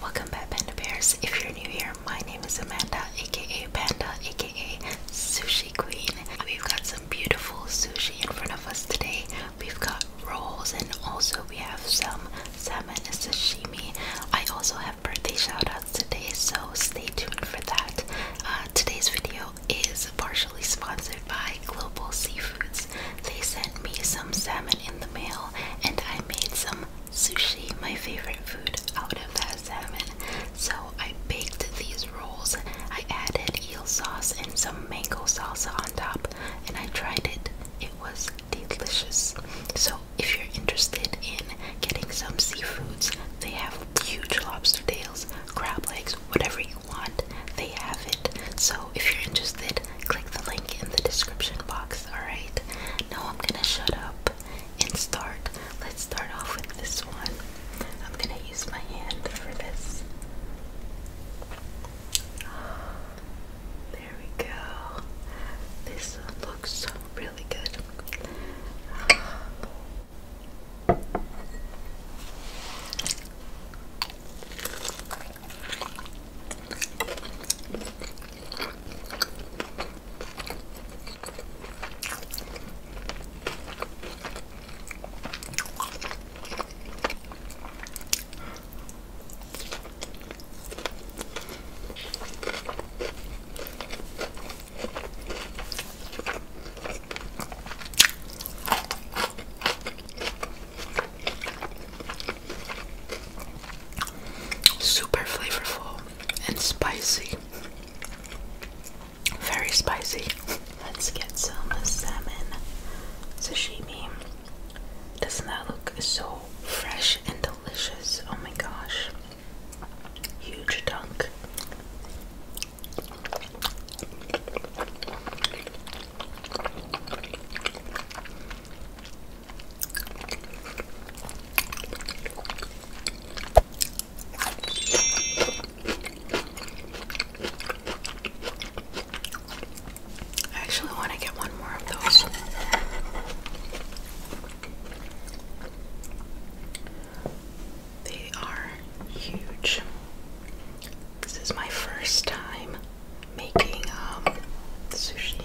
Welcome back, Panda Bears. If you're new here, my name is Amanda, aka Panda, aka Sushi Queen. We've got some beautiful sushi in front of us today. We've got rolls, and also we have some salmon sushi. I also have birthday shoutouts today, so stay tuned for that. Uh, today's video is partially sponsored by Global Seafoods. They sent me some salmon in the mail, and I made some sushi, my favorite food, out of that salmon. So I baked these rolls. I added eel sauce and some mango salsa on top, and I tried it. It was delicious. So if you're interested in getting some seafoods, they have huge lobster tails, crab legs, whatever you want, they have it. So if you're interested, click the link in the description box, alright? Now I'm gonna shut up and start. Let's start off with this one. I'm gonna use my hand for this. There we go. This looks really good. Super flavorful and spicy. Very spicy. Let's get some salmon sashimi. Doesn't that look so fresh and delicious? Oh my gosh. Huge dunk. I actually want to get one more of those. They are huge. This is my first time making um, sushi.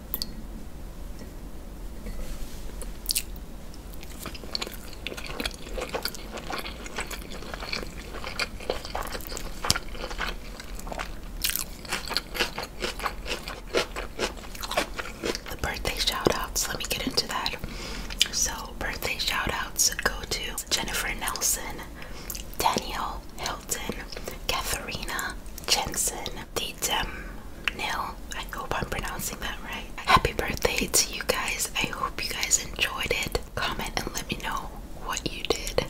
The birthday shoutouts. let me get into that. So, birthday shoutouts go to Jennifer Nelson, Danielle Hilton, Katharina Jensen, Detem Nil. I hope I'm pronouncing that right. Happy birthday to you guys. I hope you guys enjoyed it. Comment and let me know what you did.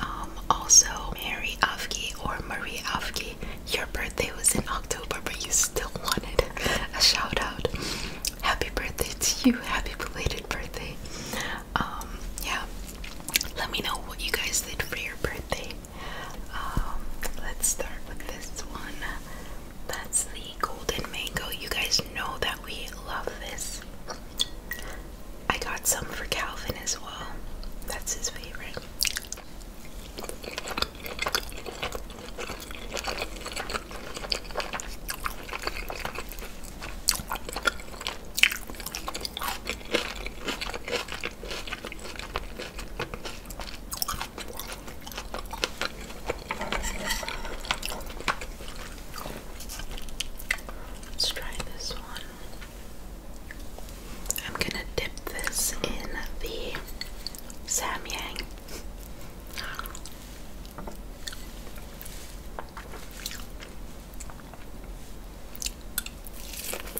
Um, also, Mary Afke or Marie Afke, your birthday was in October, but you still wanted a shout out. Happy birthday to you. Happy belated birthday. Um, yeah. Let me know what you guys did for your birthday. Um, let's start with this one. That's the golden mango. You guys know that we love this. I got some for Calvin as well. That's his favorite. Let's try this one. I'm gonna dip this in the Samyang.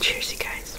Cheers, you guys.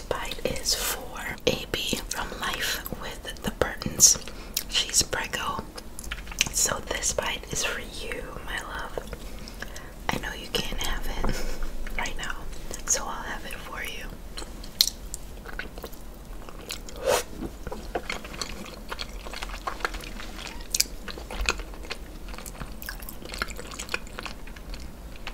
next bite is for AB from Life with the Burtons. She's preggo. So this bite is for you, my love. I know you can't have it right now, so I'll have it for you.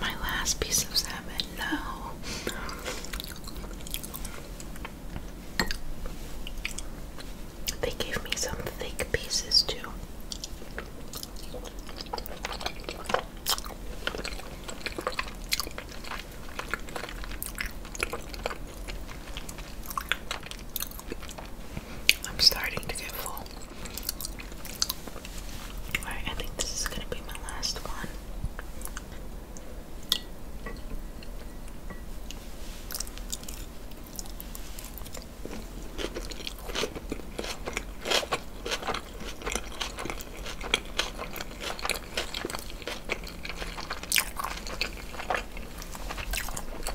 My last piece of salmon, no. They gave me some thick pieces too. I'm starting to get full. I think this is gonna be my last one.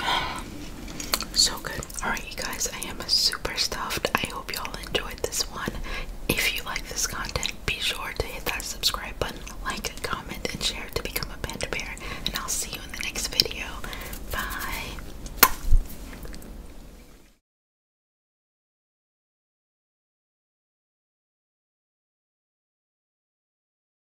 So good. Alright, you guys, I am super stuffed. I hope y'all enjoyed this one. If you like this content, be sure to hit that subscribe button, like, comment, and share to become a panda bear. And I'll see you in the next video. Bye.